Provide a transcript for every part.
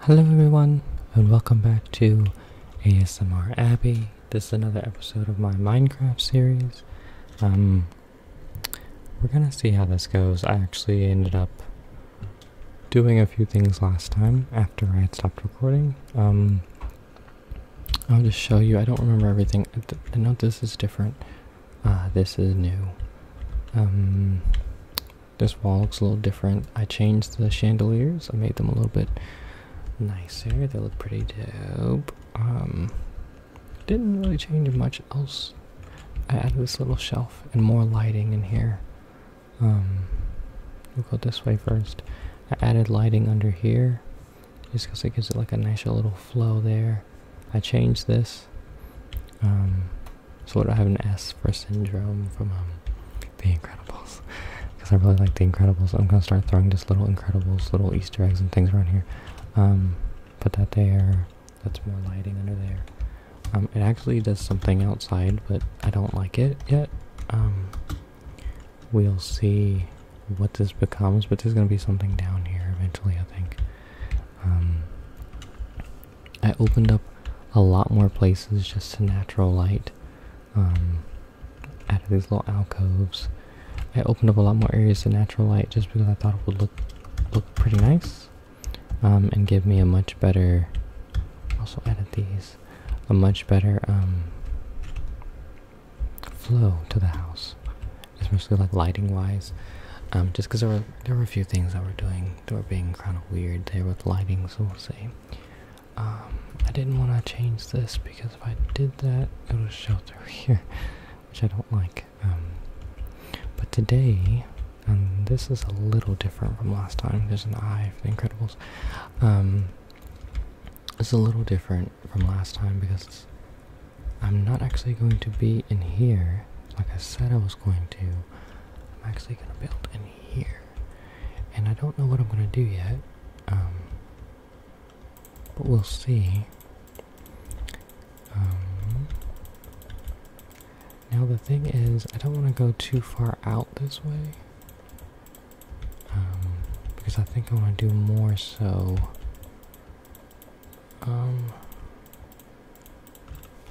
Hello, everyone, and welcome back to ASMR Abbey. This is another episode of my Minecraft series. Um, we're gonna see how this goes. I actually ended up doing a few things last time after I had stopped recording. Um, I'll just show you. I don't remember everything. I know this is different. Ah, this is new. Um, this wall looks a little different. I changed the chandeliers. I made them a little bit nicer. They look pretty dope. Um, didn't really change much else. I added this little shelf and more lighting in here. Um, we'll go this way first. I added lighting under here just because it gives it like a nice little flow there. I changed this um, so that I have an S for syndrome from um, The Incredibles because I really like The Incredibles. I'm gonna start throwing just little Incredibles, little Easter eggs and things around here. put um, that there. That's more lighting under there. it actually does something outside, but I don't like it yet. we'll see what this becomes, but there's gonna be something down here eventually, I think. Um, I opened up a lot more places just to natural light um, out of these little alcoves. I opened up a lot more areas to natural light just because I thought it would look look pretty nice um, and give me a much better. Also added these a much better um, flow to the house especially like lighting wise um, just because there were there were a few things that were doing that were being kind of weird there with lighting so we'll see um, i didn't want to change this because if i did that it would show through here which i don't like um, but today and this is a little different from last time there's an eye for the incredibles it's a little different from last time because I'm not actually going to be in here like I said I was going to. I'm actually going to build in here. And I don't know what I'm going to do yet. Um, but we'll see. Um, now the thing is, I don't want to go too far out this way. Um, because I think I want to do more so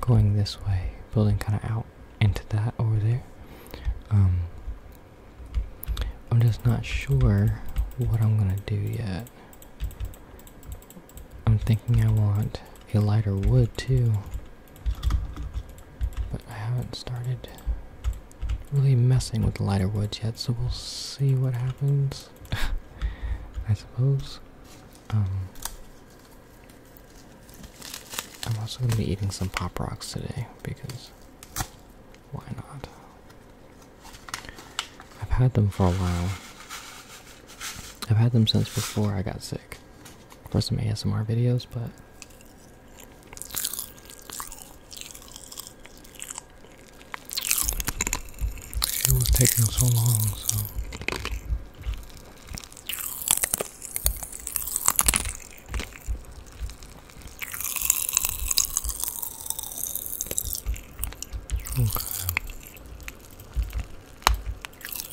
going this way, building kind of out into that over there. Um, I'm just not sure what I'm gonna do yet. I'm thinking I want a lighter wood too, but I haven't started really messing with lighter woods yet, so we'll see what happens. I suppose. Um, I'm also going to be eating some Pop Rocks today because why not? I've had them for a while. I've had them since before I got sick for some ASMR videos, but it was taking so long, so.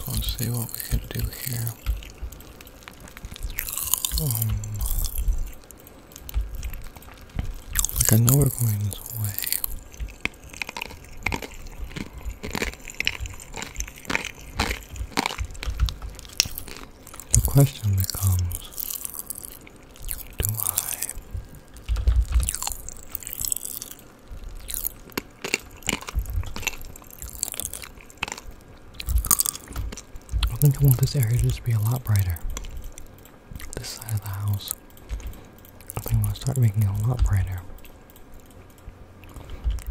Let's see what we can do here. Um, like I know we're going this way. The question becomes do I I think I want this area to just be a lot brighter. This side of the house. I am gonna start making it a lot brighter.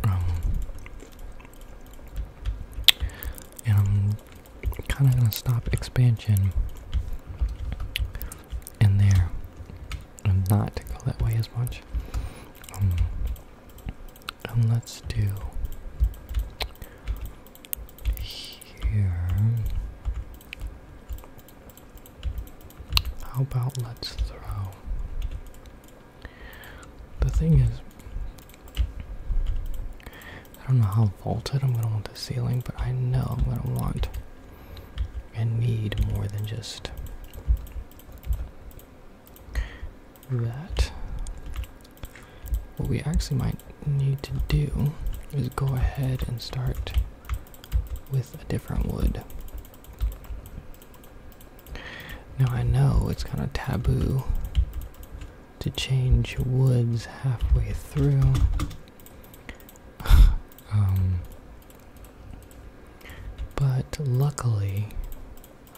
Um, and I'm kind of gonna stop expansion in there and not go that way as much. Um, and let's do here. How about let's throw? The thing is, I don't know how vaulted I'm gonna want the ceiling, but I know I'm gonna want and need more than just that. What we actually might need to do is go ahead and start with a different wood. Now I know it's kind of taboo to change woods halfway through. um, but luckily,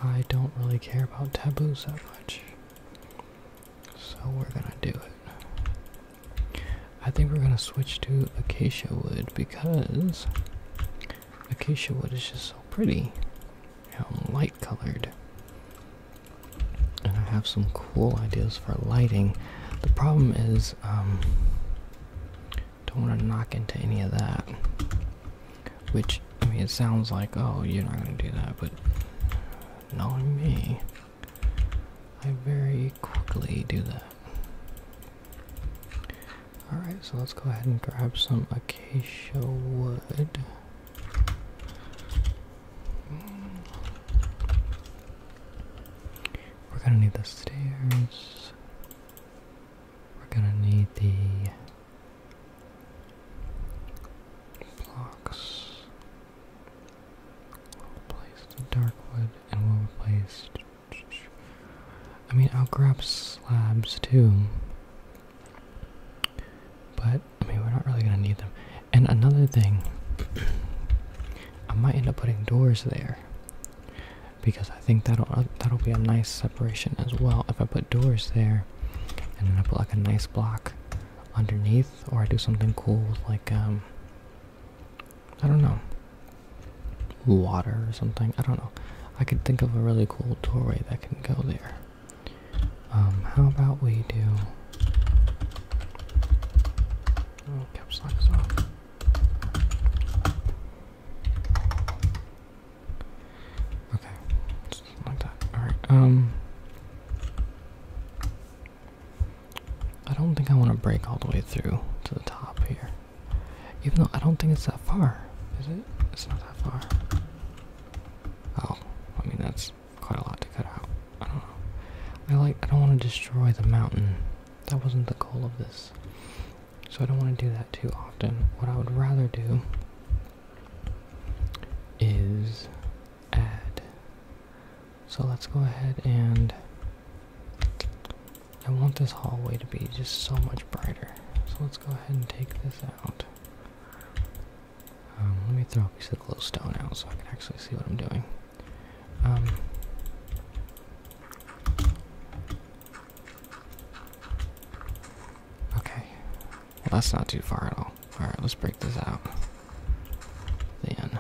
I don't really care about taboos that much. So we're gonna do it. I think we're gonna switch to acacia wood because acacia wood is just so pretty and light colored. And I have some cool ideas for lighting. The problem is, um, don't want to knock into any of that. Which, I mean, it sounds like, oh, you're not gonna do that, but knowing me, I very quickly do that. Alright, so let's go ahead and grab some acacia wood. We're gonna need the stairs. We're gonna need the blocks. We'll replace the dark wood and we'll replace I mean, I'll grab slabs too. But, I mean, we're not really gonna need them. And another thing, I might end up putting doors there. Because I think that'll uh, that'll be a nice separation as well. If I put doors there, and then I put like a nice block underneath, or I do something cool with like um, I don't know, water or something. I don't know. I could think of a really cool doorway that can go there. Um, how about we do? Oh, caps lock off. Okay, just like that. All right. Um, I don't think I want to break all the way through to the top here. Even though I don't think it's that far, is it? It's not that far. Oh, I mean that's quite a lot to cut out. I don't know. I like I don't want to destroy the mountain. That wasn't the goal of this. So I don't want to do that too often. What I would rather do is add. So let's go ahead and I want this hallway to be just so much brighter. So let's go ahead and take this out. Um, let me throw a piece of glowstone out so I can actually see what I'm doing. Um, okay. that's not too far at all. Alright, let's break this out. Then,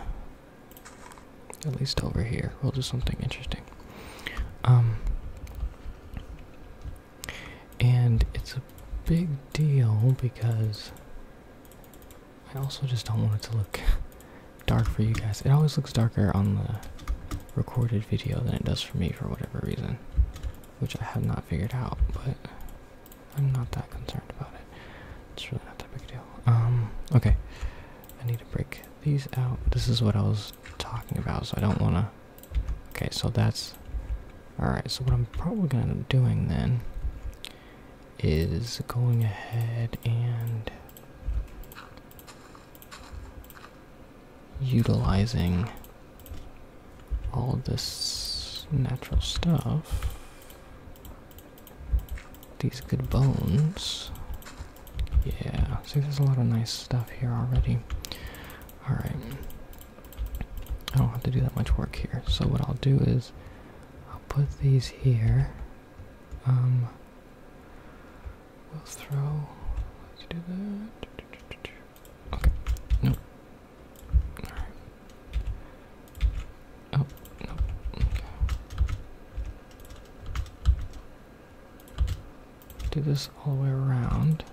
at least over here. We'll do something interesting. Um, and it's a big deal because I also just don't want it to look dark for you guys. It always looks darker on the recorded video than it does for me for whatever reason, which I have not figured out, but I'm not that concerned about it. It's really not that big deal. Um, okay. I need a break these out. This is what I was talking about, so I don't want to... Okay, so that's... Alright, so what I'm probably going to be doing then is going ahead and utilizing all this natural stuff. These good bones. Yeah, see there's a lot of nice stuff here already. Alright. I don't have to do that much work here. So what I'll do is I'll put these here. Um we'll throw let's do that. Okay. No. Alright. Oh, no. Okay do this all the way around.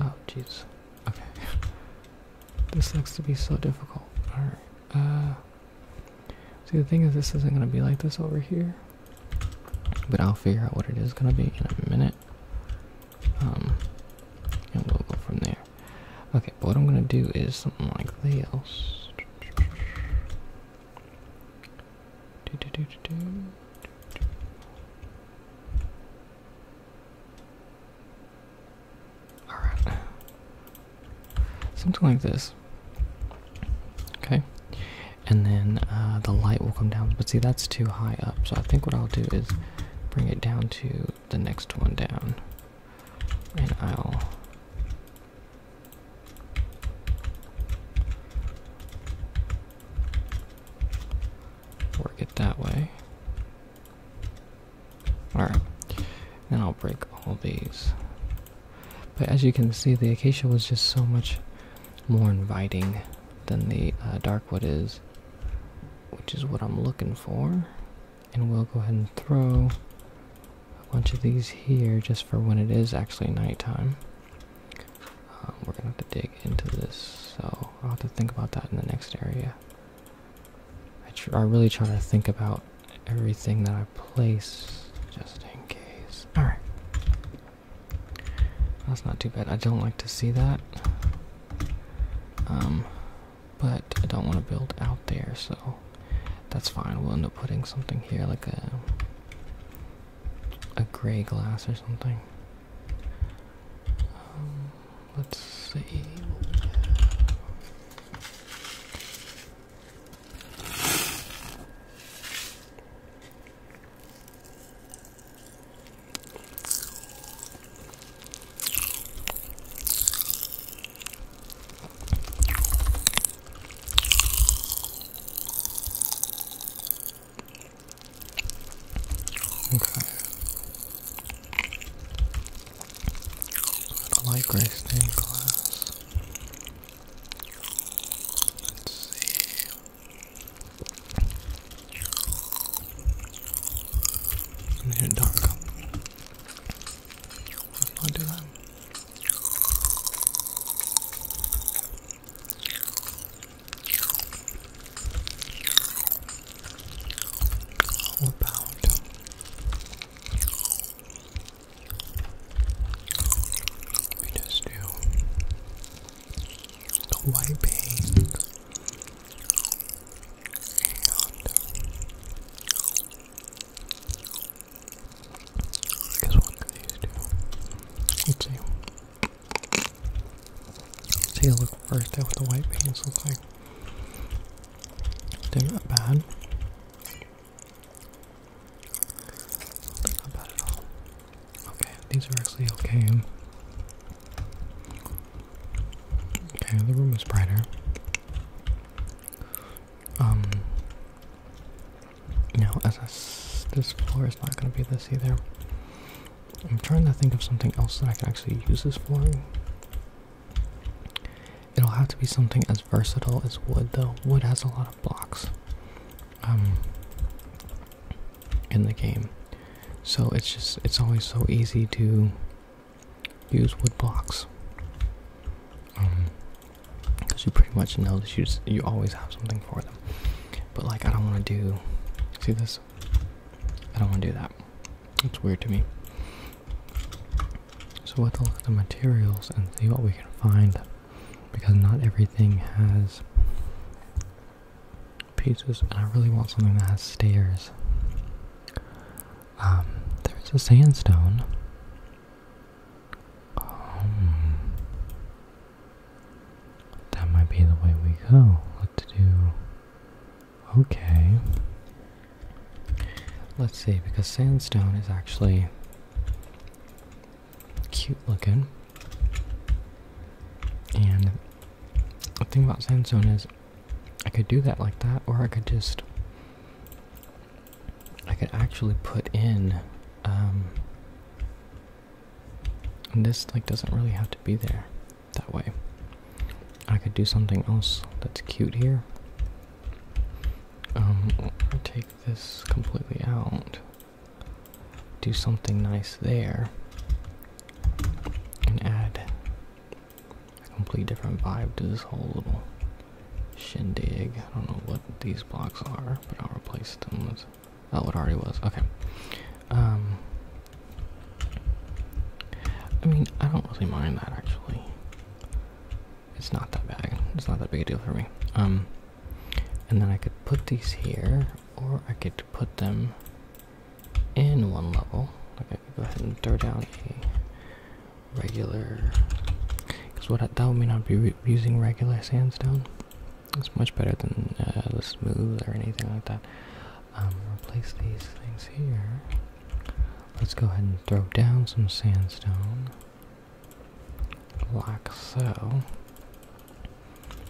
Oh, jeez. Okay. this looks to be so difficult. Alright. Uh, see, the thing is, this isn't going to be like this over here. But I'll figure out what it is gonna be in a minute. Um, and we'll go from there. Okay, but what I'm gonna do is something like this. Alright. Something like this. Okay and then uh, the light will come down. But see, that's too high up, so I think what I'll do is bring it down to the next one down, and I'll. Work it that way. Alright, And I'll break all these. But as you can see, the acacia was just so much more inviting than the uh, dark wood is, which is what I'm looking for. And we'll go ahead and throw a bunch of these here just for when it is actually nighttime. Um, we're gonna have to dig into this, so I'll have to think about that in the next area. I really try to think about everything that I place just in case. Alright. That's not too bad. I don't like to see that. Um, but I don't want to build out there, so that's fine. We'll end up putting something here, like a a gray glass or something. Um, let's see. Okay. I don't like race name class. Let's see. I'm here dark. Let's not do that. How about we just do the wiping and guess one these two. Let's see. Let's take a look first at what the white paint looks like. not bad. Okay, these are actually okay. Okay, the room is brighter. Um, now as I, this floor is not going to be this either. I'm trying to think of something else that I can actually use this for. It'll have to be something as versatile as wood, though. Wood has a lot of blocks um, in the game. So it's just, it's always so easy to use wood blocks. Um, because you pretty much know that you, you always have something for them. But like, I don't want to do, see this? I don't want to do that. It's weird to me. So let's look at the materials and see what we can find. Because not everything has pieces. and I really want something that has stairs. Um, there's a sandstone. Um, that might be the way we go. What to do? Okay. Let's see, because sandstone is actually cute looking. And the thing about sandstone is I could do that like that, or I could just I could actually put in um, this like doesn't really have to be there that way. I could do something else that's cute here. Um, take this completely out do something nice there and add a completely different vibe to this whole little shindig. I don't know what these blocks are, but I'll replace them with what oh, it already was. Okay. Um, I mean, I don't really mind that actually. It's not that bad. It's not that big a deal for me. Um, and then I could put these here, or I could put them in one level. I could go ahead and throw down a regular, because what that would mean I'd be using regular sandstone. It's much better than uh, the smooth or anything like that. Um, replace these things here. Let's go ahead and throw down some sandstone, like so.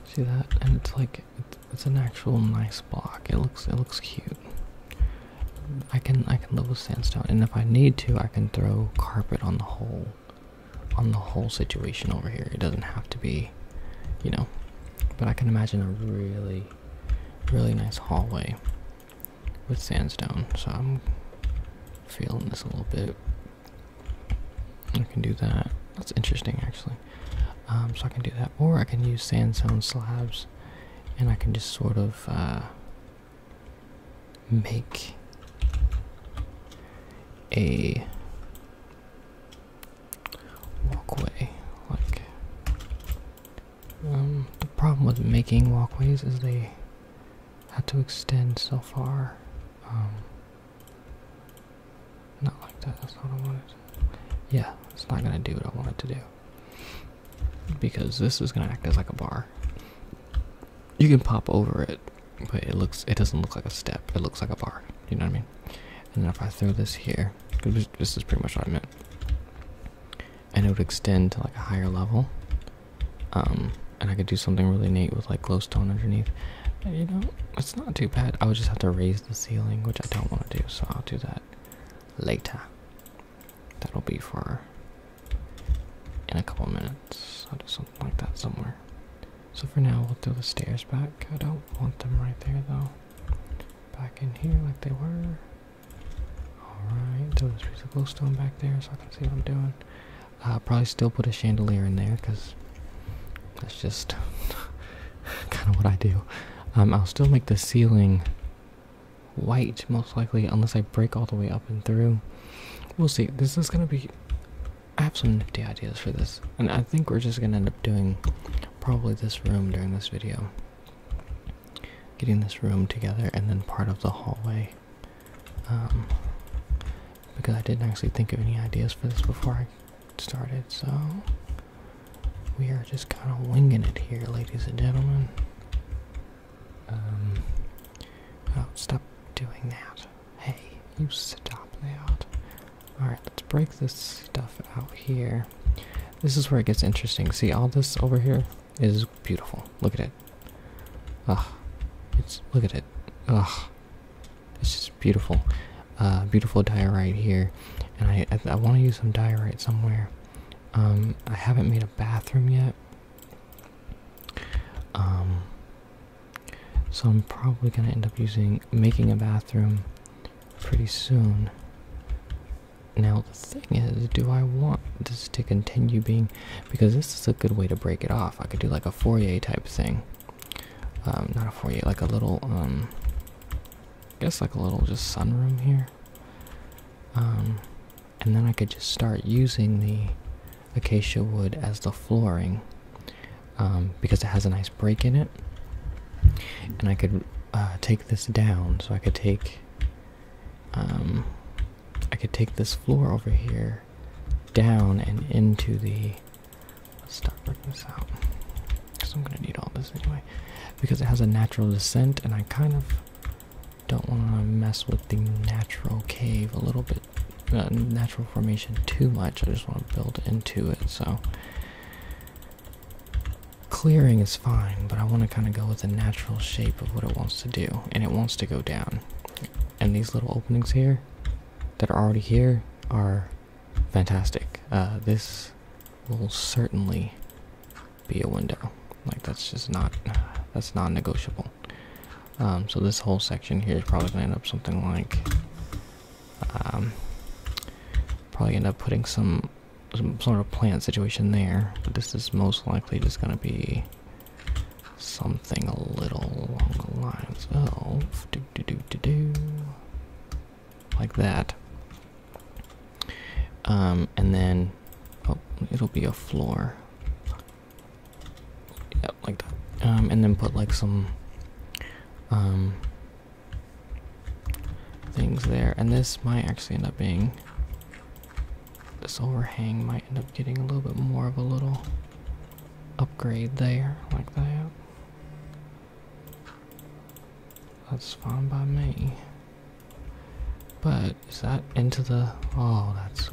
See that? And it's like it's an actual nice block. It looks it looks cute. I can I can with sandstone, and if I need to, I can throw carpet on the whole on the whole situation over here. It doesn't have to be, you know. But I can imagine a really really nice hallway with sandstone. So I'm feeling this a little bit. I can do that. That's interesting, actually. Um, so I can do that, or I can use sandstone slabs, and I can just sort of uh, make a walkway. Like, um, the problem with making walkways is they have to extend so far. Um, not like that, that's not what I wanted. Yeah, it's not gonna do what I want it to do. Because this is gonna act as like a bar. You can pop over it, but it looks it doesn't look like a step, it looks like a bar. You know what I mean? And if I throw this here, this is pretty much what I meant. And it would extend to like a higher level. Um, and I could do something really neat with like glowstone underneath. You know, it's not too bad. I would just have to raise the ceiling, which I don't want to do, so I'll do that later. That'll be for in a couple minutes. I'll do something like that somewhere. So for now, we'll do the stairs back. I don't want them right there, though. Back in here like they were. Alright, throw this piece of glowstone back there so I can see what I'm doing. I'll uh, probably still put a chandelier in there because that's just kind of what I do. Um, I'll still make the ceiling white, most likely, unless I break all the way up and through. We'll see. This is gonna be. I have some nifty ideas for this, and I think we're just gonna end up doing probably this room during this video. Getting this room together, and then part of the hallway. Um, because I didn't actually think of any ideas for this before I started, so we are just kind of winging it here, ladies and gentlemen. Um, oh, stop doing that. Hey, you stop layout. Alright, let's break this stuff out here. This is where it gets interesting. See, all this over here is beautiful. Look at it. Ugh. It's, look at it. Ugh. It's just beautiful, uh, beautiful diorite here, and I I, want to use some diorite somewhere. Um, I haven't made a bathroom yet. Um, so I'm probably gonna end up using making a bathroom pretty soon. Now the thing is, do I want this to continue being? Because this is a good way to break it off. I could do like a Fourier type thing. Um, not a foyer, like a little, um, I guess like a little just sunroom here. Um, and then I could just start using the acacia wood as the flooring because it has a nice break in it. And I could uh, take this down, so I could take, I could take this floor over here down and into the Let's start putting this out. Because I'm going to need all this anyway. Because it has a natural descent, and I kind of don't want to mess with the natural cave a little bit. Uh, natural formation too much. I just want to build into it, so. Clearing is fine, but I want to kind of go with the natural shape of what it wants to do, and it wants to go down. And these little openings here that are already here are fantastic. Uh, this will certainly be a window. Like that's just not that's non-negotiable. Um, so this whole section here is probably gonna end up something like um, probably end up putting some some sort of plant situation there. But this is most likely just gonna be something a little along the lines of do do do do do like that. Um, and then, oh, it'll be a floor. Yep, like that. Um, and then put like some, um, things there. And this might actually end up being, this overhang might end up getting a little bit more of a little upgrade there, like that. That's fine by me. But is that into the oh that's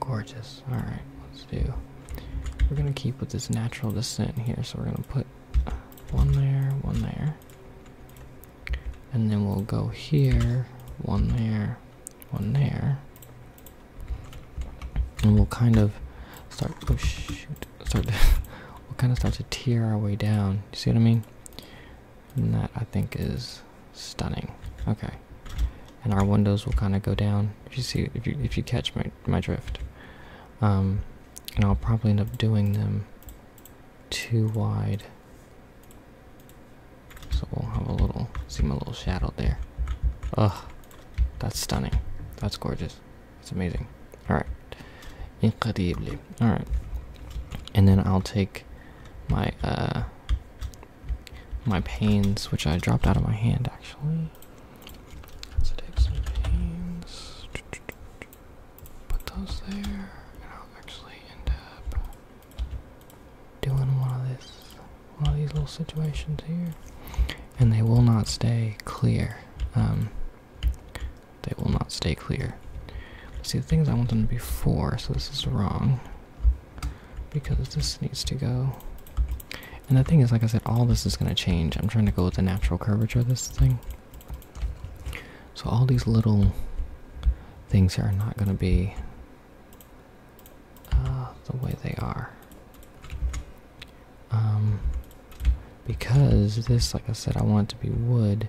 gorgeous. Alright, let's do we're gonna keep with this natural descent here, so we're gonna put one there, one there. And then we'll go here, one there, one there. And we'll kind of start oh start to, we'll kind of start to tear our way down. You see what I mean? And that I think is stunning. Okay. And our windows will kind of go down. If you see, if you if you catch my my drift, um, and I'll probably end up doing them too wide. So we'll have a little see my little shadow there. Ugh, that's stunning. That's gorgeous. It's amazing. Alright. Incredibly. Alright. And then I'll take my uh my pains, which I dropped out of my hand actually. So take some panes. Put those there. And I'll actually end up doing one of this one of these little situations here. And they will not stay clear. Um they will not stay clear. See, the things I want them to be for, so this is wrong. Because this needs to go. And the thing is, like I said, all this is going to change. I'm trying to go with the natural curvature of this thing. So all these little things are not going to be uh, the way they are. Um, because this, like I said, I want it to be wood.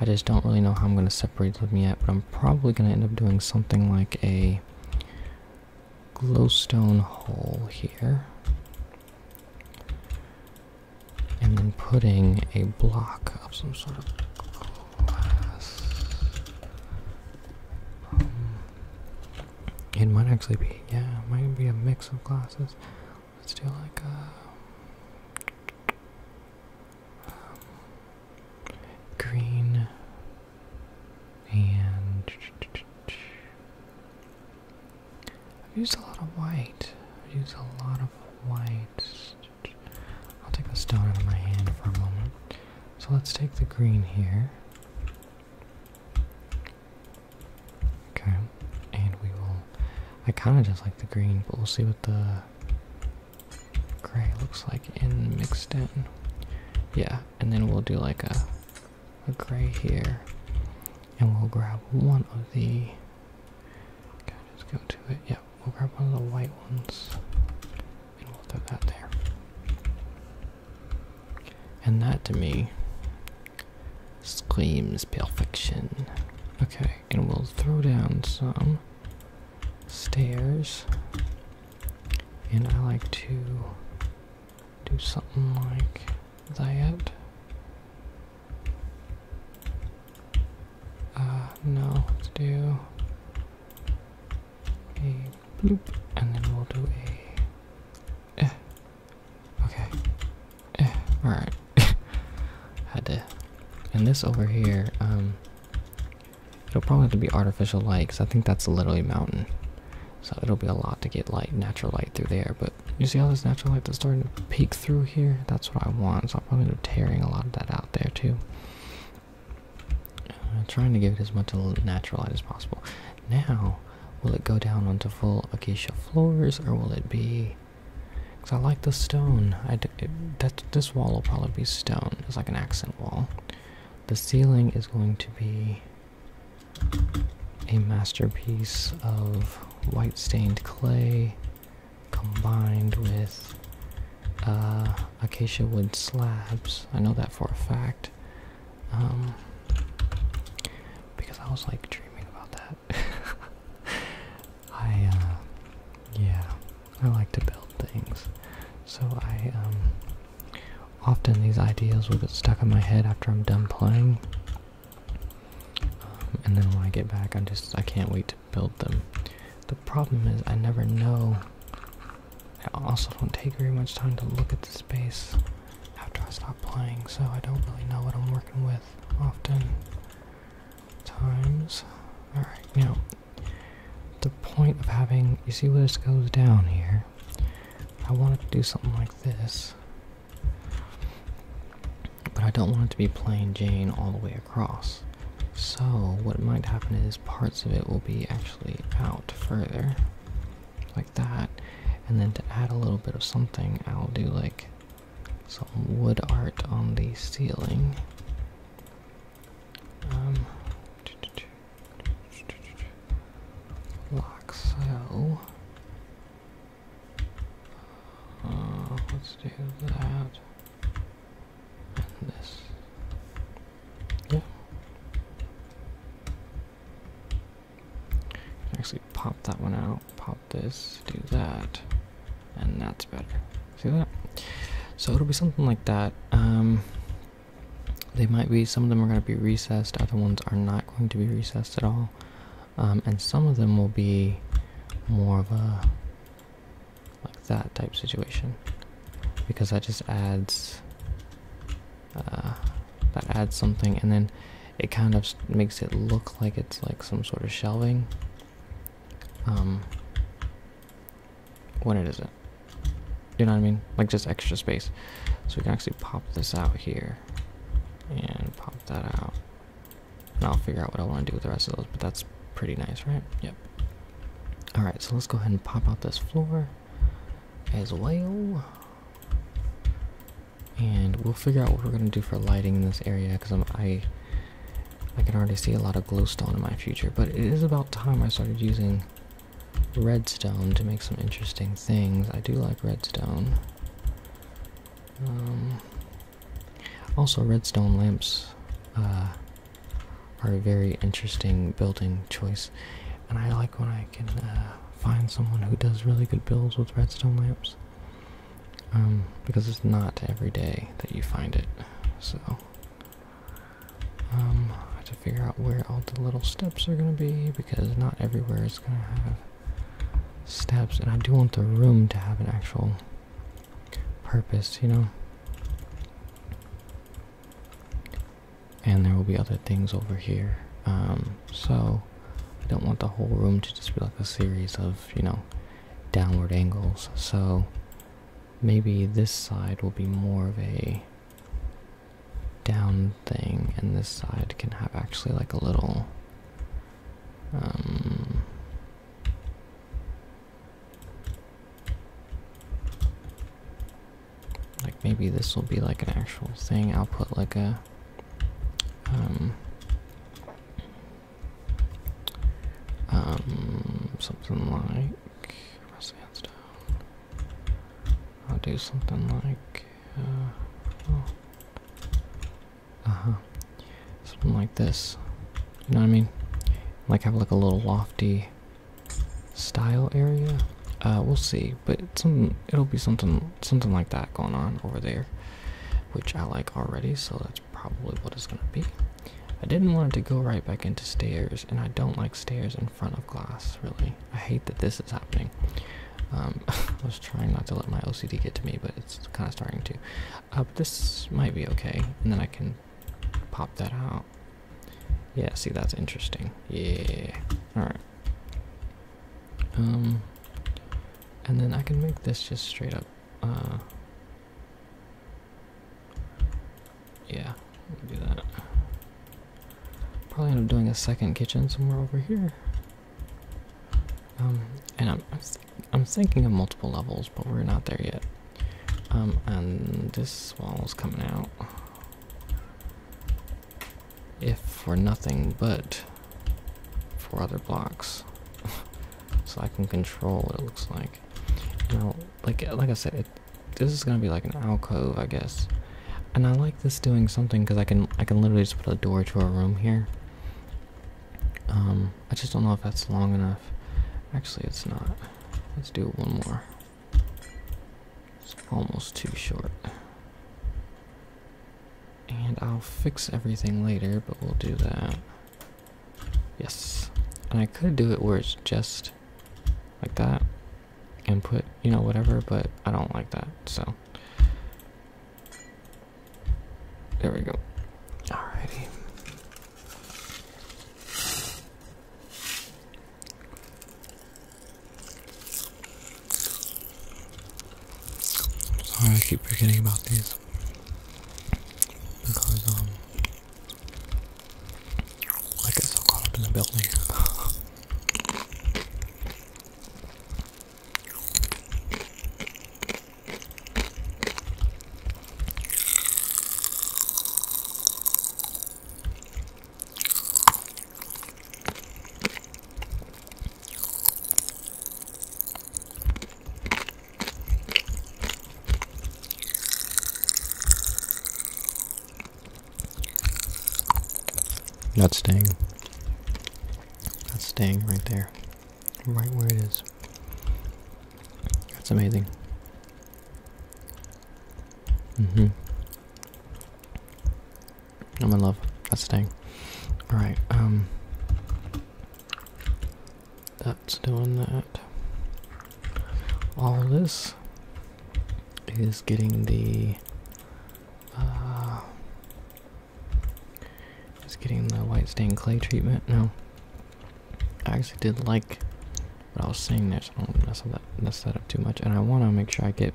I just don't really know how I'm going to separate them yet, but I'm probably going to end up doing something like a glowstone hole here. And then putting a block of some sort of glass. Um, it might actually be, yeah, it might be a mix of glasses let's do like a uh, green and I've used a lot of white. I've used a lot of whites. I'll take the stone out of my hand for a moment. So let's take the green here. Okay, and we will. I kind of just like the green, but we'll see what the gray looks like in mixed in. Yeah, and then we'll do like a a gray here, and we'll grab one of the. Okay, just go to it. Yeah, we'll grab one of the white ones, and we'll throw that there. And that to me Screams perfection. Okay, and we'll throw down some stairs. And I like to do something like that. Uh, no, let's do a loop, and then we'll do a eh, Okay. Eh, Alright. Had to. And this over here, um, it'll probably have to be artificial light because I think that's literally mountain. So it'll be a lot to get light, natural light through there. But you see all this natural light that's starting to peek through here? That's what I want. So i am probably end up tearing a lot of that out there too. Uh, trying to give it as much natural light as possible. Now, Will it go down onto full acacia floors or will it be. Because I like the stone. I it, that, this wall will probably be stone. It's like an accent wall. The ceiling is going to be a masterpiece of white stained clay combined with uh, acacia wood slabs. I know that for a fact. Um, because I was like dreaming about that. I, uh, yeah, I like to build things. So I, um, often these ideas will get stuck in my head after I'm done playing. Um, and then when I get back, I am just, I can't wait to build them. The problem is I never know. I also don't take very much time to look at the space after I stop playing, so I don't really know what I'm working with often times. Alright, now the point of having you see where this goes down here. I want to do something like this. But I don't want it to be plain Jane all the way across. So what might happen is parts of it will be actually out further. Like that. And then to add a little bit of something, I'll do like some wood art on the ceiling. Um, so. Uh, let's do that. this. Yeah actually pop that one out, pop this, do that, and that's better. See that? So it'll be something like that. Um, they might be, some of them are going to be recessed, other ones are not going to be recessed at all. Um, and some of them will be more of a like that type situation because that just adds uh, that adds something and then it kind of makes it look like it's like some sort of shelving. Um, when it isn't. You know what I mean? Like just extra space. So we can actually pop this out here and pop that out. And I'll figure out what I want to do with the rest of those, but that's pretty nice, right? Yep. Alright, so let's go ahead and pop out this floor as well and we'll figure out what we're gonna do for lighting in this area because i I can already see a lot of glowstone in my future, but it is about time I started using redstone to make some interesting things. I do like redstone. Um, also, redstone lamps uh, are a very interesting building choice, and I like when I can uh, find someone who does really good builds with redstone lamps um, because it's not every day that you find it. So um, I have to figure out where all the little steps are gonna be because not everywhere is gonna have steps, and I do want the room to have an actual purpose, you know. And there will be other things over here. Um, so I don't want the whole room to just be like a series of, you know, downward angles. So maybe this side will be more of a down thing, and this side can have actually like a little. Um, like maybe this will be like an actual thing. I'll put like a um, um, something like I'll do something like uh oh. huh, something like this. You know what I mean? Like have like a little lofty style area. Uh, we'll see, but some it'll be something something like that going on over there which I like already, so that's probably what it's gonna be. I didn't want it to go right back into stairs, and I don't like stairs in front of glass, really. I hate that this is happening. Um, I was trying not to let my OCD get to me, but it's kind of starting to. Uh, this might be okay, and then I can pop that out. Yeah, see, that's interesting. Yeah. Alright. Um, and then I can make this just straight up. Uh, yeah, do that. Probably end up doing a second kitchen somewhere over here. Um, and I'm, I'm, thinking of multiple levels, but we're not there yet. Um, and this wall is coming out. If for nothing but four other blocks so I can control what it looks like. Now, like like I said, this is gonna be like an alcove, I guess. And I like this doing something because I can I can literally just put a door to a room here. Um, I just don't know if that's long enough. Actually, it's not. Let's do one more. It's almost too short. And I'll fix everything later, but we'll do that. Yes. And I could do it where it's just like that and put, you know, whatever, but I don't like that, so. There we go. Alrighty. Sorry, I keep forgetting about these because um, I get so caught up in the building. That's staying. That's staying right there. Right where it is. That's amazing. Mm-hmm. I'm in love. That's staying. Alright, um... That's doing that. All of this is getting the uh, is getting the white stained clay treatment. No, I actually did like what I was saying there, so I don't mess, that, mess that up too much. And I want to make sure I get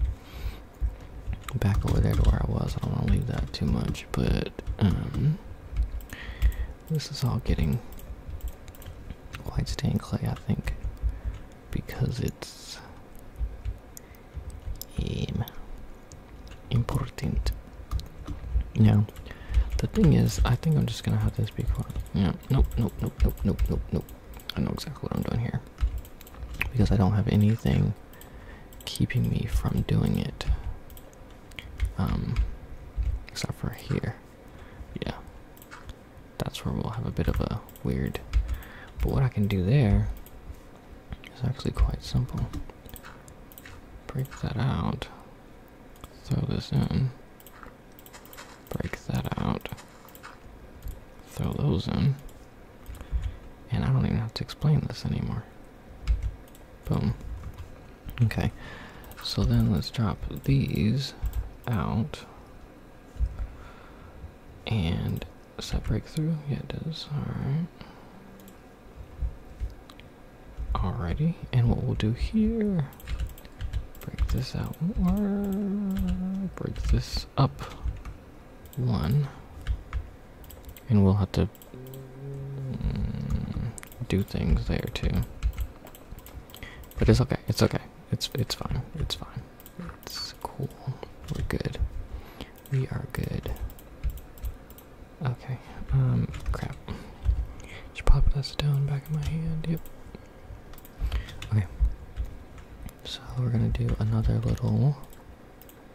back over there to where I was. I don't want to leave that too much but um, this is all getting quite stained clay, I think, because it's um, important. Now, the thing is, I think I'm just gonna have this be quiet. Yeah, nope, nope, nope, nope, nope, nope, nope. I know exactly what I'm doing here because I don't have anything keeping me from doing it. Um, except for here. Yeah, that's where we'll have a bit of a weird. But what I can do there is actually quite simple. Break that out. Throw this in. Break that out. Throw those in. And I don't even have to explain this anymore. Boom. Okay. So then let's drop these out and does breakthrough. Yeah, it does. Alright. Alrighty. And what we'll do here break this out break this up one and we'll have to Mm, do things there too. But it's okay. It's okay. It's it's fine. It's fine. It's cool. We're good. We are good. Okay. Um. Crap. Just pop that stone back in my hand. Yep. Okay. So we're gonna do another little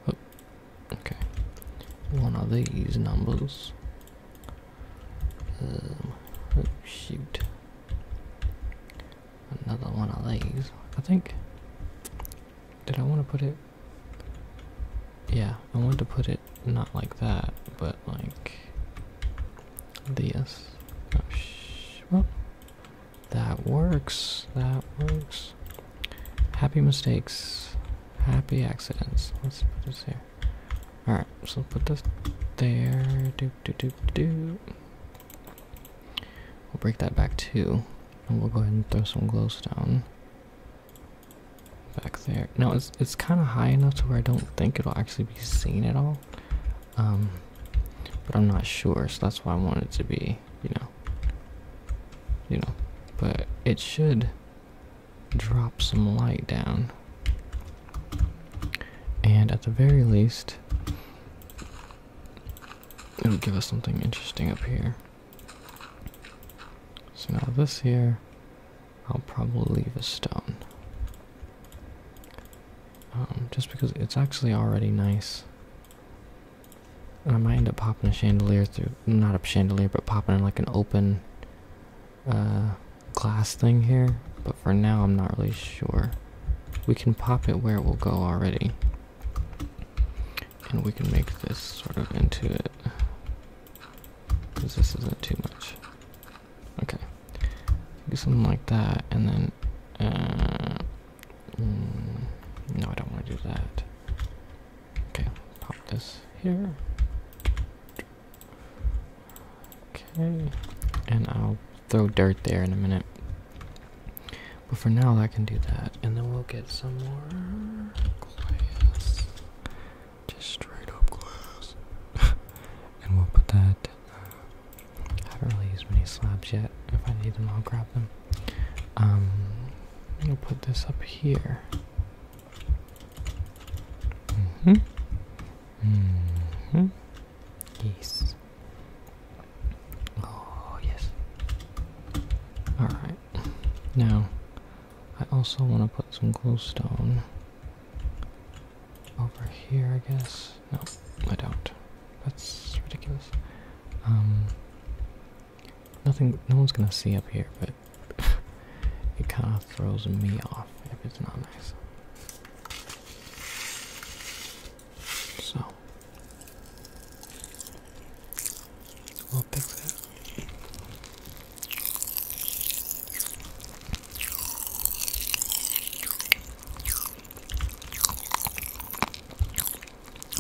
Oh, okay. One of these numbers. Um, oh shoot. Another one of these. I think. Did I want to put it? Yeah, I wanted to put it not like that, but like this. Oh, sh well, that works. That works. Happy mistakes. Happy accidents. Let's put this here. Alright, so put this there. Do do do do. We'll break that back too. And we'll go ahead and throw some glowstone back there. Now it's it's kind of high enough to where I don't think it'll actually be seen at all. Um, but I'm not sure, so that's why I want it to be, you know, you know. But it should drop some light down. And at the very least, it'll give us something interesting up here. So now this here, I'll probably leave a stone. Um, just because it's actually already nice. And I might end up popping a chandelier through not a chandelier, but popping in like an open uh, glass thing here. But for now, I'm not really sure. We can pop it where it will go already. And we can make this sort of into it. Because this isn't too much. Okay. Do something like that, and then. Uh, mm, no, I don't want to do that. Okay, pop this here. Okay, and I'll throw dirt there in a minute. But for now, I can do that, and then we'll get some more glass. Just straight up glass. and we'll put that. I haven't really used many slabs yet. If I need them, I'll grab them. Um, I'll put this up here. Mm -hmm. Mm -hmm. Yes. Oh, yes. Alright. Now, I also want to put some glowstone over here, I guess. No, I don't. That's ridiculous. Um, Nothing, no one's gonna see up here, but it kind of throws me off if it's not nice. So, we'll fix it.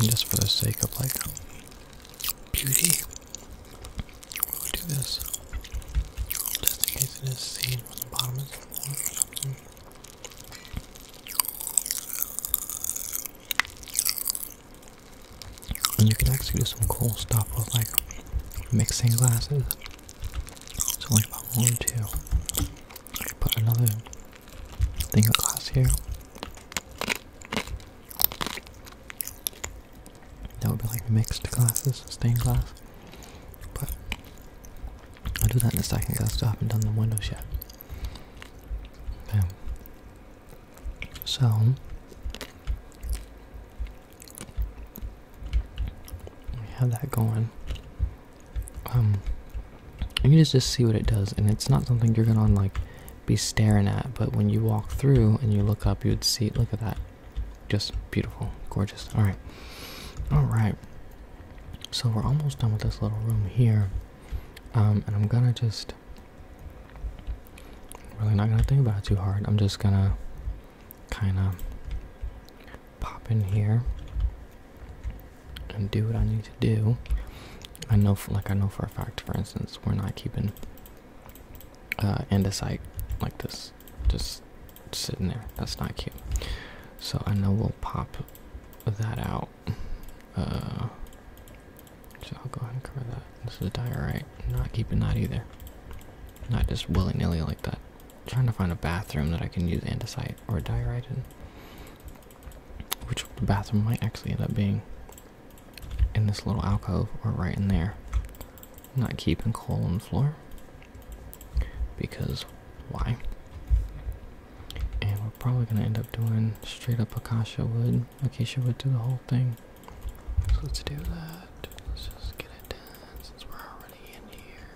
just for the sake of like beauty do this just in case it is seen from the bottom of the floor or something. And you can actually do some cool stuff with like mixing glasses. It's like if I wanted to, put another thing of glass here. That would be like mixed glasses, stained glass. But I'll do that in a second because I still haven't done the windows yet. Bam. So we have that going. Um, you can just, just see what it does, and it's not something you're gonna like be staring at but when you walk through and you look up you would see look at that just beautiful gorgeous all right all right so we're almost done with this little room here um, and i'm gonna just really not gonna think about it too hard i'm just gonna kind of pop in here and do what i need to do i know like i know for a fact for instance we're not keeping uh, and a site like this, just sitting there. That's not cute. So I know we'll pop that out. Uh, so I'll go ahead and cover that. This is diorite. Not keeping that either. Not just willy nilly like that. trying to find a bathroom that I can use andesite or diorite in. Which the bathroom might actually end up being in this little alcove or right in there. not keeping coal on the floor because why? And we're probably gonna end up doing straight up Akasha wood, Akasha wood to the whole thing. So let's do that. Let's just get it done since we're already in here.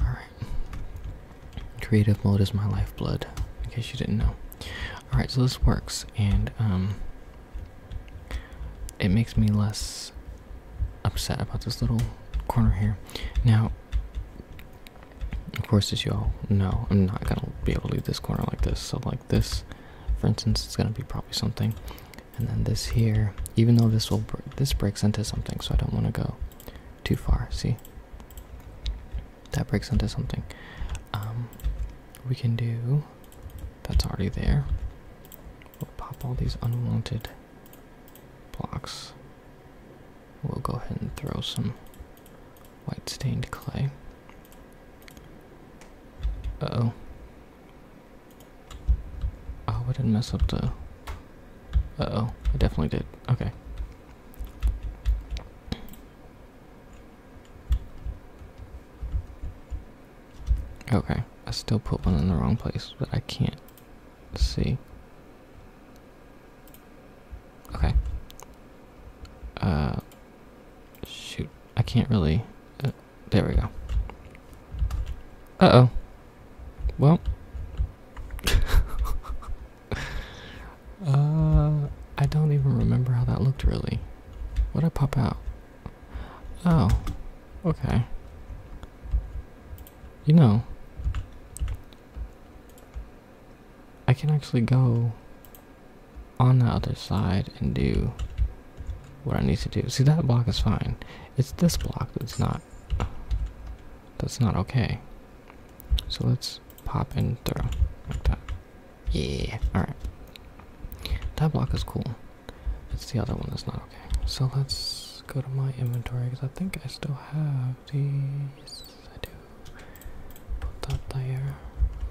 Alright, Creative mode is my lifeblood, in case you didn't know. Alright, so this works, and um, it makes me less upset about this little corner here. Now, of course, as you all know, I'm not gonna be able to leave this corner like this. So, like this, for instance, it's gonna be probably something, and then this here. Even though this will, this breaks into something, so I don't want to go too far. See, that breaks into something. Um, we can do that's already there. We'll pop all these unwanted blocks. We'll go ahead and throw some white stained clay. Uh oh. Oh, I didn't mess up the. Uh oh, I definitely did. Okay. Okay, I still put one in the wrong place, but I can't see. Okay. Uh, shoot, I can't really. Uh, there we go. Uh oh. Well. uh, I don't even remember how that looked really. What I pop out? Oh, okay. You know, I can actually go on the other side and do what I need to do. See, that block is fine. It's this block that's not that's not okay. So let's pop in throw like that. Yeah, alright. That block is cool. It's the other one that's not okay. So let's go to my inventory because I think I still have these. I do. Put that there.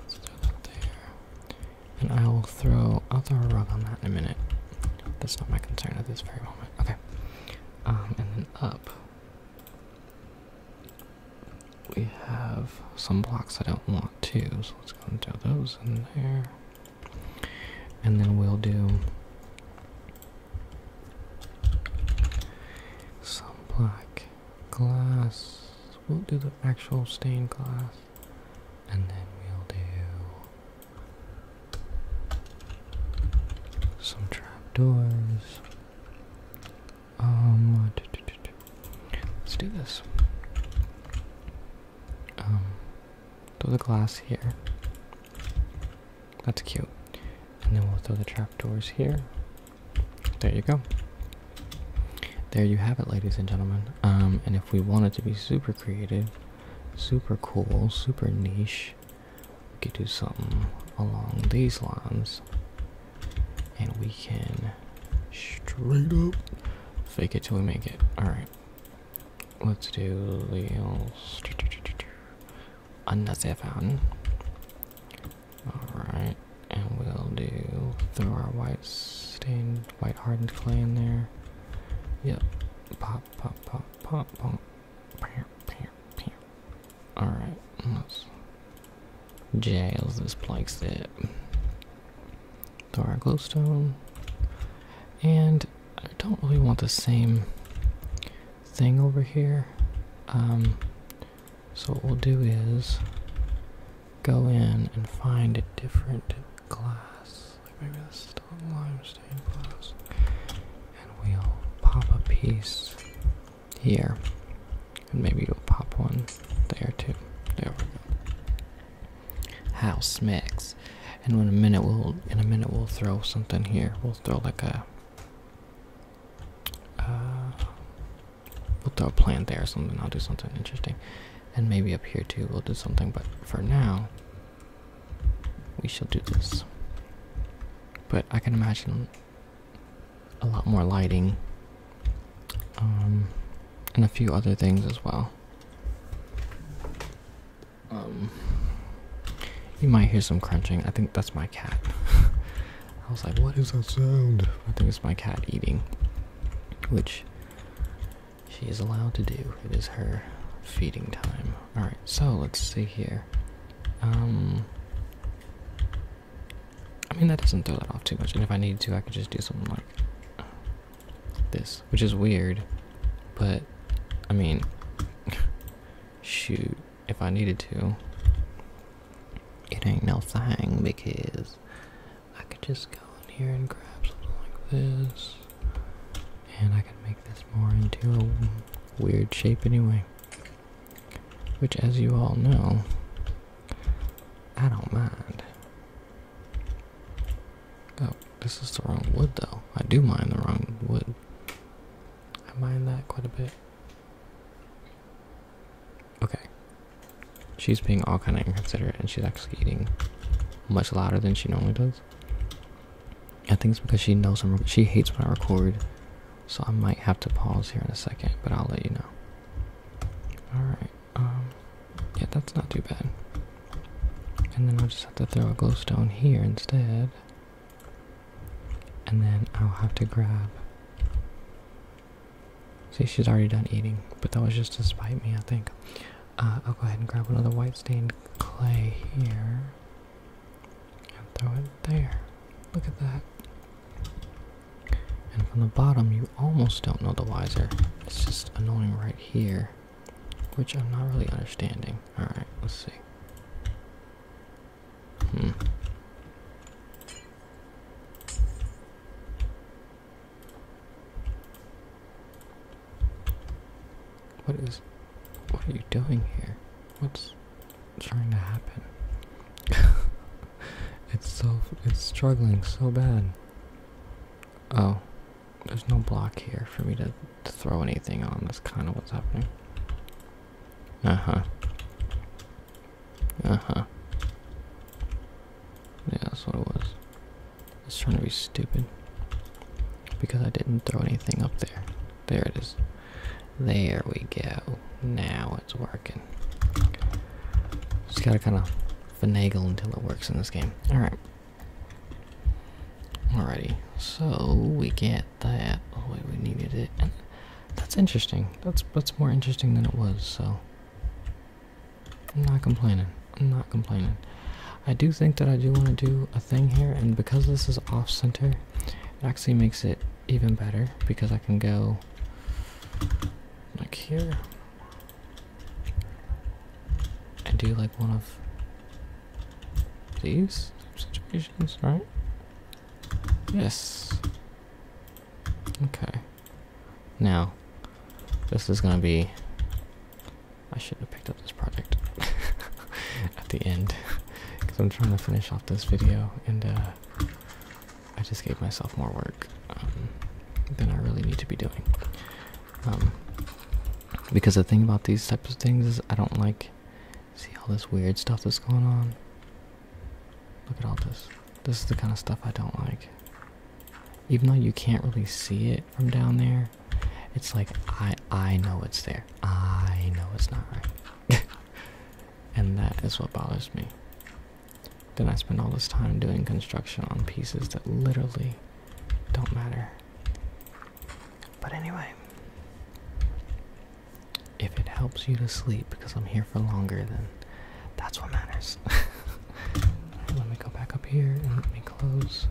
Let's do that there. And I will throw. I'll throw a rug on that in a minute. That's not my concern at this very moment. Okay. Um, and then up we have some blocks I don't want to, so let's go and throw those in there. And then we'll do some black glass. We'll do the actual stained glass. And then we'll do some trapdoors. Um, let's do this. Um, throw the glass here. That's cute. And then we'll throw the trapdoors here. There you go. There you have it, ladies and gentlemen. Um, and if we wanted to be super creative, super cool, super niche, we could do something along these lines and we can straight up fake it till we make it all right let's do the another fountain all right and we'll do throw our white stained white hardened clay in there yep pop pop pop pop pop Alright, let's jails this place up. Throw our glowstone. And I don't really want the same thing over here. Um, so what we'll do is go in and find a different glass. Like maybe this lime limestone glass. And we'll pop a piece here. And maybe we will pop one there too. There House mix. And in a minute we'll in a minute we'll throw something here. We'll throw like a uh, we'll throw a plant there or something. I'll do something interesting. And maybe up here too we'll do something, but for now we shall do this. But I can imagine a lot more lighting um, and a few other things as well. Um, you might hear some crunching. I think that's my cat. I was like, what is that sound? I think it's my cat eating, which she is allowed to do. It is her feeding time. Alright, so let's see here. Um, I mean, that doesn't throw that off too much. And if I needed to, I could just do something like this, which is weird, but I mean, shoot, if I needed to, it ain't no thing because I could just go in here and grab something like this, and I could make this more into a weird shape anyway. Which, as you all know, I don't mind. Oh, this is the wrong wood, though. I do mind the wrong wood. I mind that quite a bit. Okay. She's being all kind of inconsiderate, and she's actually eating much louder than she normally does. I think it's because she knows I'm. She hates when I record so I might have to pause here in a second, but I'll let you know. Alright, um, yeah, that's not too bad. And then I'll just have to throw a glowstone here instead. And then I'll have to grab. See, she's already done eating, but that was just to spite me, I think. Uh, I'll go ahead and grab another white stained clay here and throw it there. Look at that. And from the bottom, you almost don't know the wiser. It's just annoying right here, which I'm not really understanding. Alright, let's see. Hmm. What is. What are you doing here? What's trying to happen. it's so it's struggling so bad. Oh, there's no block here for me to, to throw anything on. That's kind of what's happening. Uh huh. Uh huh. Yeah, that's what it was. It's trying to be stupid because I didn't throw anything up there. There it is. There we go. Now it's working. Just gotta kind of finagle until it works in this game. Alright. Alrighty. So we get that. Oh we needed it. that's interesting. That's that's more interesting than it was, so I'm not complaining. I'm not complaining. I do think that I do want to do a thing here, and because this is off center, it actually makes it even better because I can go like here and do like one of these situations, right? Yes. Okay. Now, this is gonna be. I should have picked up this project at the end because I'm trying to finish off this video and uh, I just gave myself more work um, than I really need to be doing. Um, because the thing about these types of things is I don't like see all this weird stuff that's going on. Look at all this. This is the kind of stuff I don't like. Even though you can't really see it from down there, it's like I I know it's there. I know it's not right. and that is what bothers me. Then I spend all this time doing construction on pieces that literally don't matter. But anyway, if it helps you to sleep because I'm here for longer, then that's what matters. let me go back up here and let me close.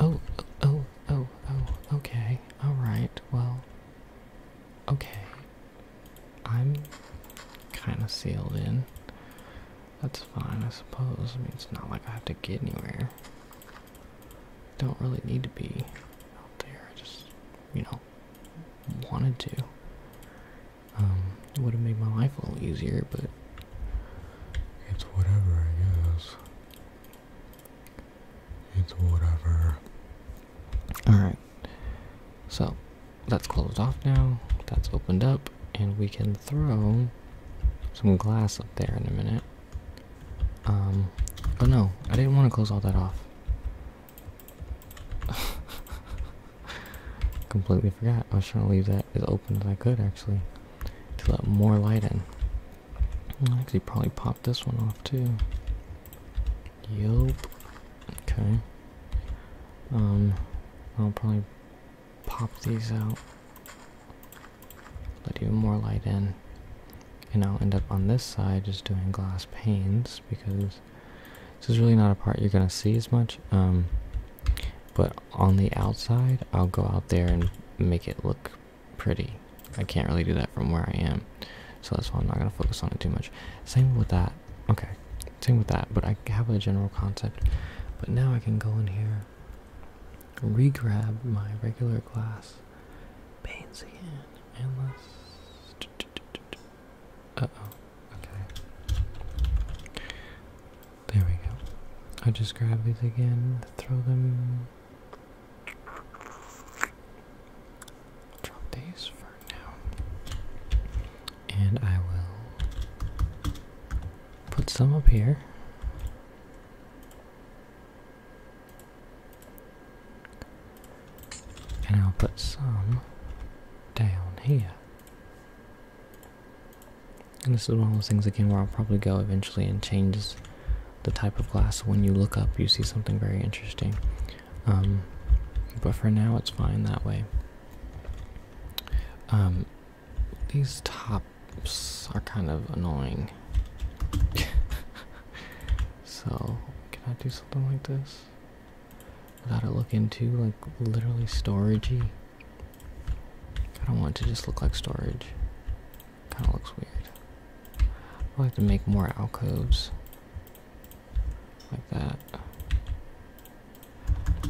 oh, oh, oh, oh, okay. Alright, well, okay. I'm kind of sealed in. That's fine, I suppose. I mean, it's not like I have to get anywhere. Don't really need to be out there. I just, you know, wanted to. Um, it would have made my life a little easier, but it's whatever, I guess. It's whatever. Alright, so that's closed off now. That's opened up, and we can throw some glass up there in a minute. Um, oh no, I didn't want to close all that off. Completely forgot. I was trying to leave that as open as I could actually to let more light in. I'll actually probably popped this one off too. Yup. Okay. Um, I'll probably pop these out. Let even more light in. And I'll end up on this side just doing glass panes because this is really not a part you're going to see as much. Um, but on the outside, I'll go out there and make it look pretty. I can't really do that from where I am so that's why I'm not going to focus on it too much. Same with that. Okay, same with that, but I have a general concept. But now I can go in here, regrab my regular glass paints again, and let's. Uh oh, okay. There we go. I just grab these again, throw them drop these for now. And I will put some up here. And I'll put some down here. And this is one of those things again where I'll probably go eventually and change the type of glass. When you look up, you see something very interesting. Um, but for now, it's fine that way. Um, these tops are kind of annoying. so, can I do something like this? Without it looking too, like, literally storagey? I don't want to just look like storage. Kinda looks weird. I like to make more alcoves like that.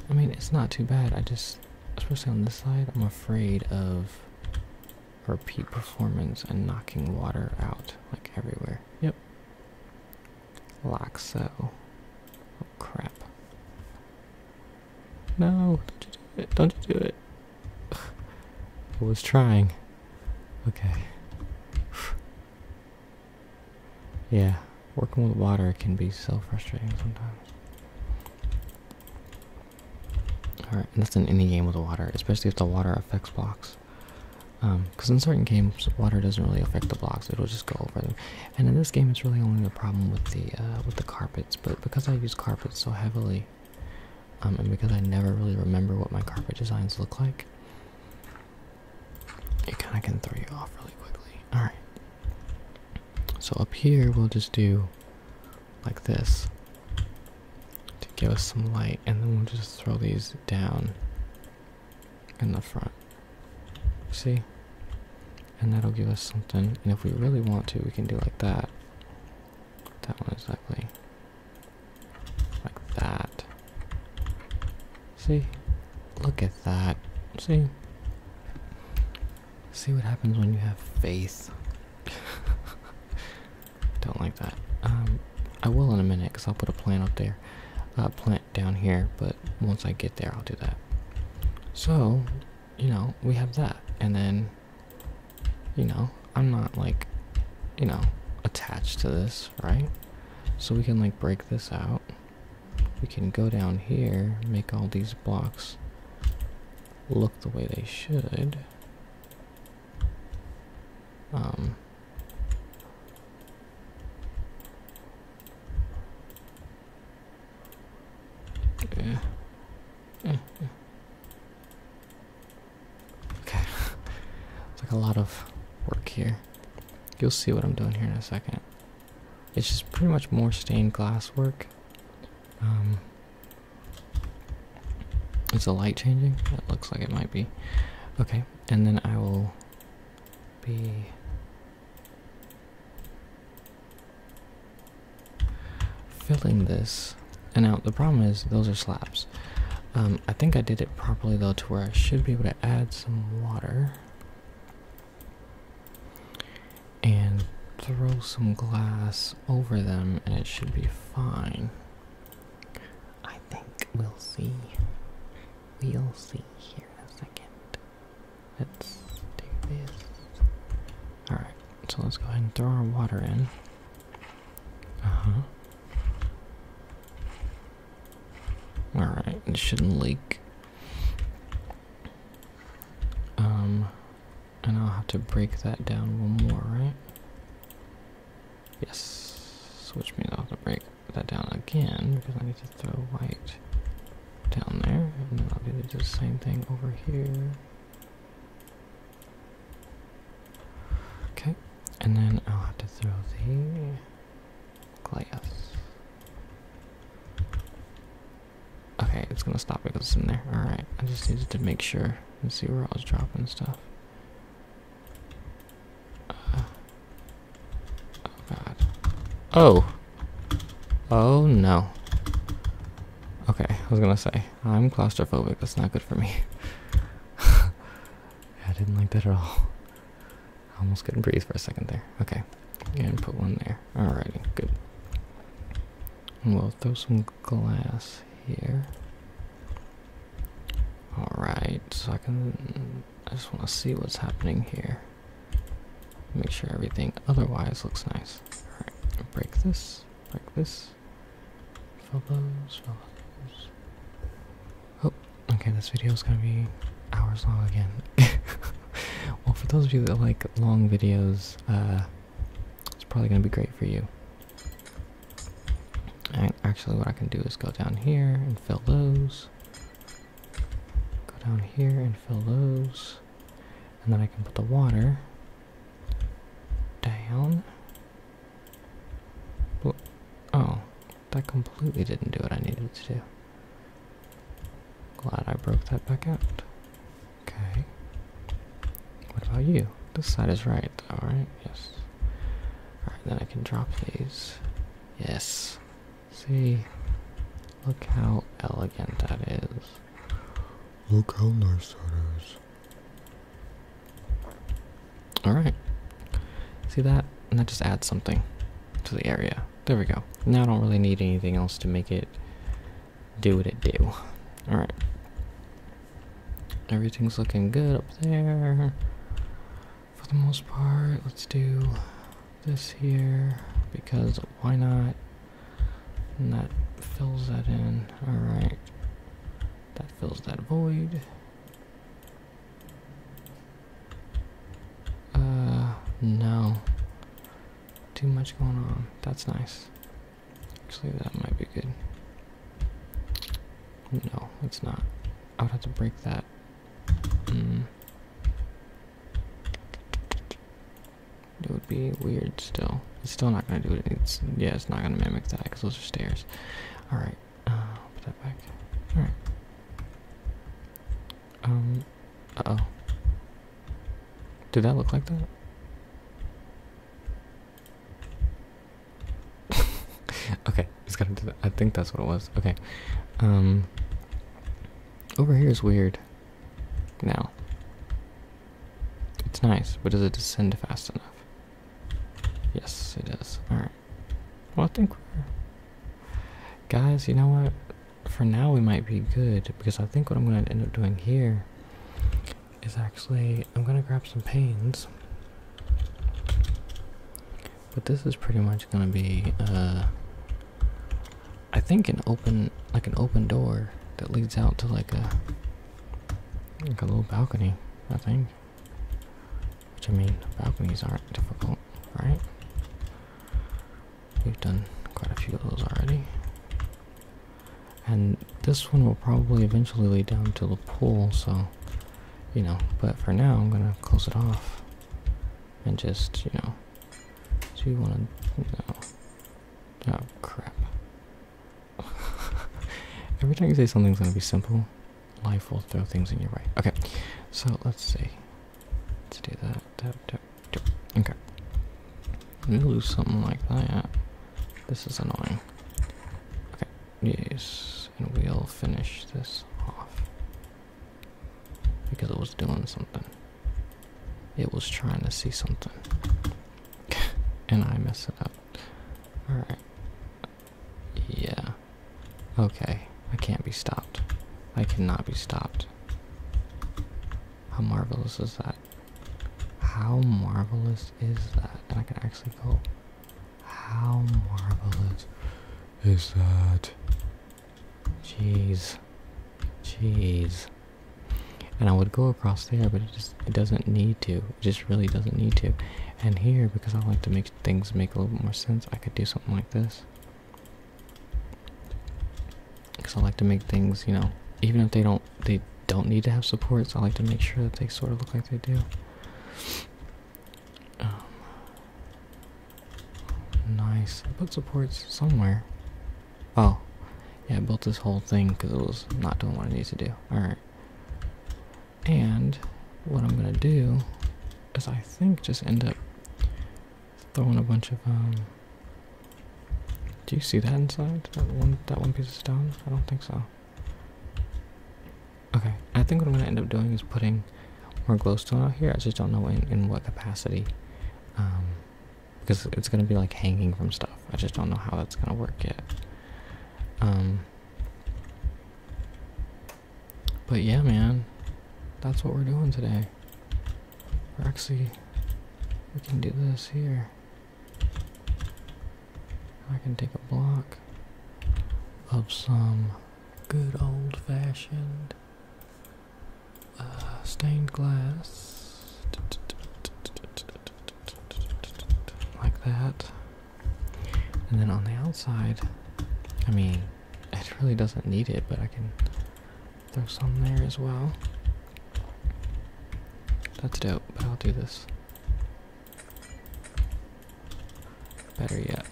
I mean, it's not too bad. I just, especially on this side, I'm afraid of repeat performance and knocking water out like everywhere. Yep. Like so. Oh crap. No, don't you do it. Don't you do it. I was trying. Okay. Yeah, working with water can be so frustrating sometimes. Alright, that's an any game with water, especially if the water affects blocks. Because um, in certain games, water doesn't really affect the blocks; it'll just go over them. And in this game, it's really only the problem with the uh, with the carpets. But because I use carpets so heavily, um, and because I never really remember what my carpet designs look like, it kind of can throw you off really quickly. Alright. So up here, we'll just do like this to give us some light, and then we'll just throw these down in the front. See? And that'll give us something. And if we really want to, we can do like that. That one is ugly. Like that. See? Look at that. See? See what happens when you have faith. Don't like that. Um, I will in a minute because I'll put a plant up there. a plant down here, but once I get there, I'll do that. So, you know, we have that. And then, you know, I'm not like, you know, attached to this, right? So we can like break this out. We can go down here, make all these blocks look the way they should. Um, yeah. Eh, eh. Okay. it's like a lot of work here. You'll see what I'm doing here in a second. It's just pretty much more stained glass work. Um, is the light changing? It looks like it might be. Okay, and then I will be. Filling this, and now the problem is those are slabs. Um, I think I did it properly though, to where I should be able to add some water and throw some glass over them, and it should be fine. I think we'll see. We'll see here in a second. Let's do this. Alright, so let's go ahead and throw our water in. Uh huh. Alright, it shouldn't leak. Um, and I'll have to break that down one more, right? Yes, Switch means I'll have to break that down again because I need to throw white down there, and then I'll do the same thing over here. Okay, and then I'll have to throw the Glass. Okay, it's gonna stop because it's in there. Alright, I just needed to make sure and see where I was dropping stuff. Uh, oh god. Oh! Oh no. Okay, I was gonna say, I'm claustrophobic, that's not good for me. I didn't like that at all almost couldn't breathe for a second there. Okay. And put one there. Alrighty, good. We'll throw some glass here. Alright, so I can. I just want to see what's happening here. Make sure everything otherwise looks nice. Alright, break this, break this. Fill those, Oh, okay, this video is gonna be hours long again. well, for those of you that like long videos, uh, it's probably gonna be great for you. And actually, what I can do is go down here and fill those. Go down here and fill those. And then I can put the water down. Oh, that completely didn't do what I needed it to do. Glad I broke that back out. Okay. What about you? This side is right, alright? Yes. Alright, then I can drop these. Yes. See? Look how elegant that is. Look how nice that is. All right. See that? And that just adds something to the area. There we go. Now I don't really need anything else to make it do what it do. All right. Everything's looking good up there. For the most part, let's do this here because why not? And that fills that in. All right. That fills that void. Uh, no. Too much going on. That's nice. Actually, that might be good. No, it's not. I would have to break that. Mm. It would be weird still. It's still not going to do it. It's Yeah, it's not going to mimic that because those are stairs. Alright. Uh, I'll put that back. Alright. Um, uh oh. Did that look like that? okay, it's gotta do that. I think that's what it was. Okay. Um, over here is weird. Now. It's nice, but does it descend fast enough? Yes, it does. Alright. Well, I think Guys, you know what? For now, we might be good because I think what I'm going to end up doing here is actually. I'm going to grab some panes. But this is pretty much going to be. Uh, I think an open. Like an open door that leads out to like a. Like a little balcony, I think. Which I mean, balconies aren't difficult, right? We've done quite a few of those already. And this one will probably eventually lead down to the pool, so, you know, but for now I'm gonna close it off and just, you know, so you oh crap. Every time you say something's gonna be simple, Life will throw things in your way. Okay, so let's see. Let's do that. Okay. We lose something like that. This is annoying. Okay, yes. And we'll finish this off. Because it was doing something. It was trying to see something. and I mess it up. Alright. Yeah. Okay. I can't be stopped. I cannot be stopped. How marvelous is that? How marvelous is that? And I can actually go. How marvelous is that? Jeez. Jeez. And I would go across there, but it just it doesn't need to. It just really doesn't need to. And here, because I like to make things make a little bit more sense, I could do something like this. Because I like to make things, you know, even if they don't they don't need to have supports, I like to make sure that they sort of look like they do. Um, nice. I put supports somewhere. Oh, yeah, I built this whole thing because it was not doing what I needed to do. Alright. And what I'm going to do does I think just end up throwing a bunch of um, do you see that inside? That one that one piece of stone? I don't think so. Okay. I think what I'm gonna end up doing is putting more glowstone out here. I just don't know in, in what capacity. Um because it's gonna be like hanging from stuff. I just don't know how that's gonna work yet. Um but yeah, man, that's what we're doing today. we actually, we can do this here. I can take a block of some good old fashioned uh, stained glass like that. And then on the outside, I mean, it really doesn't need it, but I can throw some there as well. That's dope, but I'll do this. Better yet,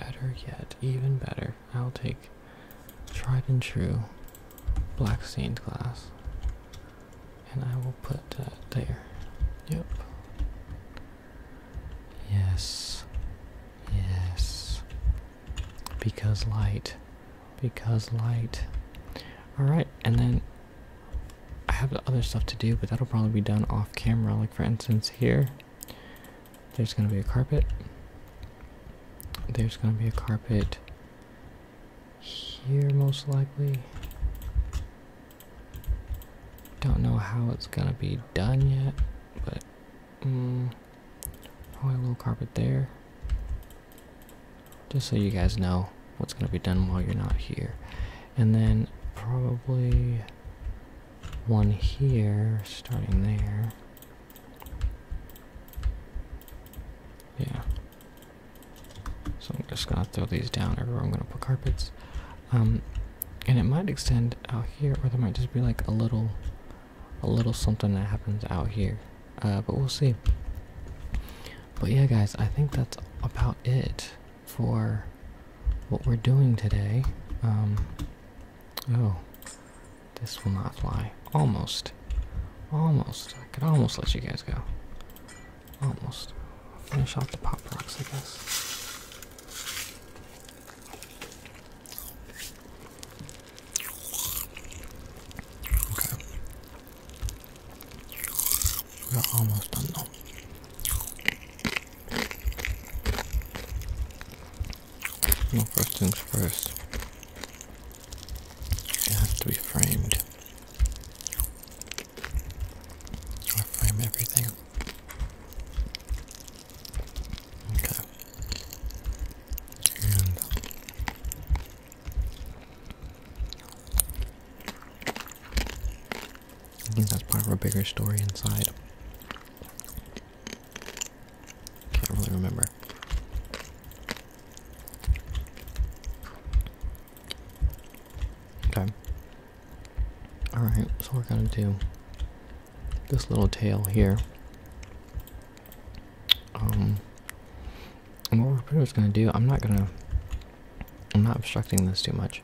better yet, even better. I'll take tried and true black stained glass and I will put that there. Yep. Yes. Yes. Because light. Because light. Alright, and then I have other stuff to do, but that'll probably be done off camera. Like, for instance, here, there's going to be a carpet. There's going to be a carpet here, most likely. Don't know how it's going to be done yet, but Mm, i oh, a little carpet there. Just so you guys know what's going to be done while you're not here. And then probably one here, starting there. Yeah. So I'm just gonna throw these down everywhere I'm gonna put carpets. Um, and it might extend out here or there might just be like a little a little something that happens out here uh, but we'll see but yeah guys i think that's about it for what we're doing today um, oh this will not fly almost almost i could almost let you guys go almost finish off the pop rocks i guess Okay. We are almost done though. Well, first things first. It has to be framed. I frame everything. Okay. And I think that's part of a bigger story inside. Can't really remember. Okay. Alright, so we're gonna do this little tail here. Um, what we're pretty gonna do, I'm not gonna, I'm not obstructing this too much.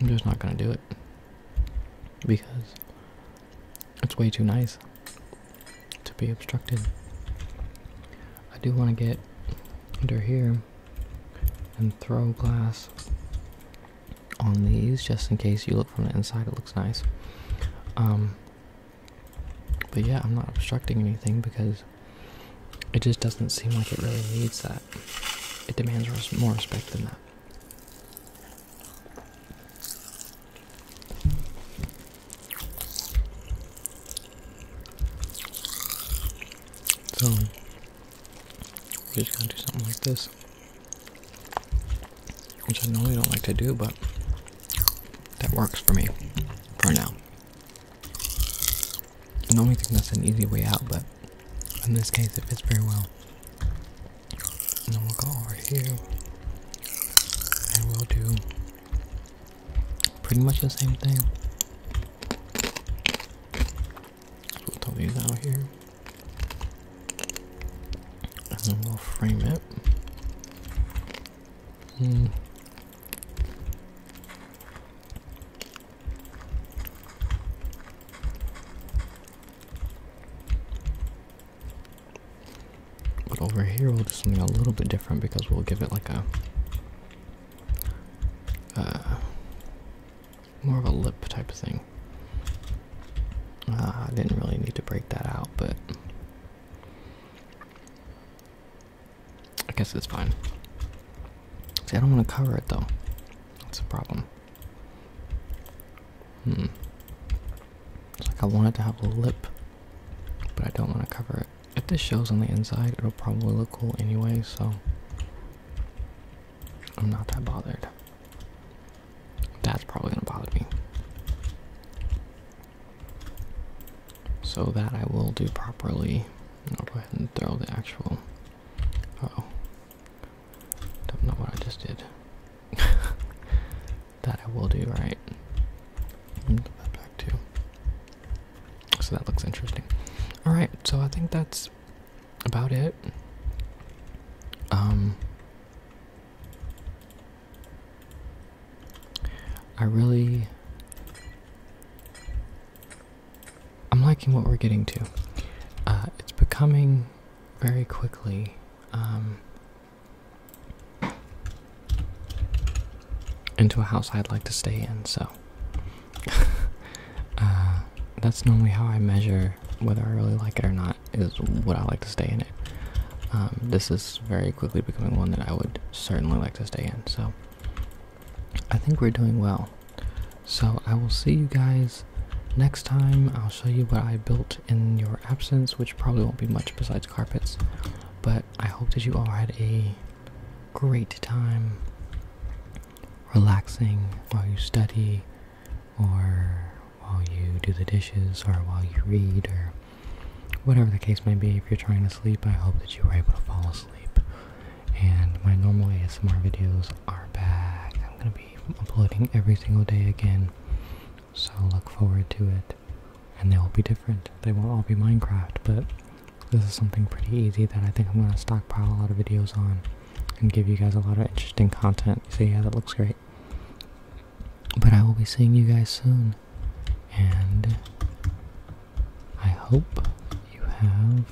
I'm just not gonna do it because it's way too nice to be obstructed. I do want to get under here and throw glass on these just in case you look from the inside it looks nice um, but yeah i'm not obstructing anything because it just doesn't seem like it really needs that it demands more respect than that so just gonna do something like this which I normally don't like to do, but that works for me for now. normally that's an easy way out, but in this case it fits very well. And then we'll go over here and we'll do pretty much the same thing. We'll these out here and then we'll frame it. Hmm. But over here we'll do something a little bit different because we'll give it like a uh, more of a lip type of thing. Uh, I didn't really need to break that out, but I guess it's fine. See, I don't want to cover it though. That's a problem. Hmm. It's like I wanted to have a lip, but I don't want to cover it. If this shows on the inside, it'll probably look cool anyway, so I'm not that bothered. That's probably gonna bother me. So that I will do properly. I'll go ahead and throw the actual. oh. Don't know what I just did. that I will do right. Mm, put that back too. So that looks interesting. Alright, so I think that's about it. Um I really. I'm liking what we're getting to. Uh, it's becoming very quickly um, into a house I'd like to stay in, so. Uh, that's normally how I measure whether I really like it or not is what I like to stay in it. Um, this is very quickly becoming one that I would certainly like to stay in. So I think we're doing well. So I will see you guys next time. I'll show you what I built in your absence, which probably won't be much besides carpets. But I hope that you all had a great time relaxing while you study or while you do the dishes, or while you read, or whatever the case may be. If you're trying to sleep, I hope that you were able to fall asleep. And my normal ASMR videos are back. I'm going to be uploading every single day again, so look forward to it. And they will be different. They won't all be Minecraft, but this is something pretty easy that I think I'm going to stockpile a lot of videos on and give you guys a lot of interesting content. So yeah, that looks great. But I will be seeing you guys soon. And I hope you have.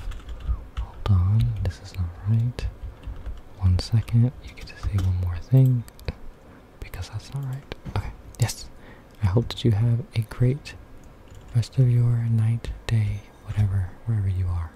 Hold on, this is not right. One second, you get to say one more thing. Because that's not right. Okay, yes. I hope that you have a great rest of your night, day, whatever, wherever you are.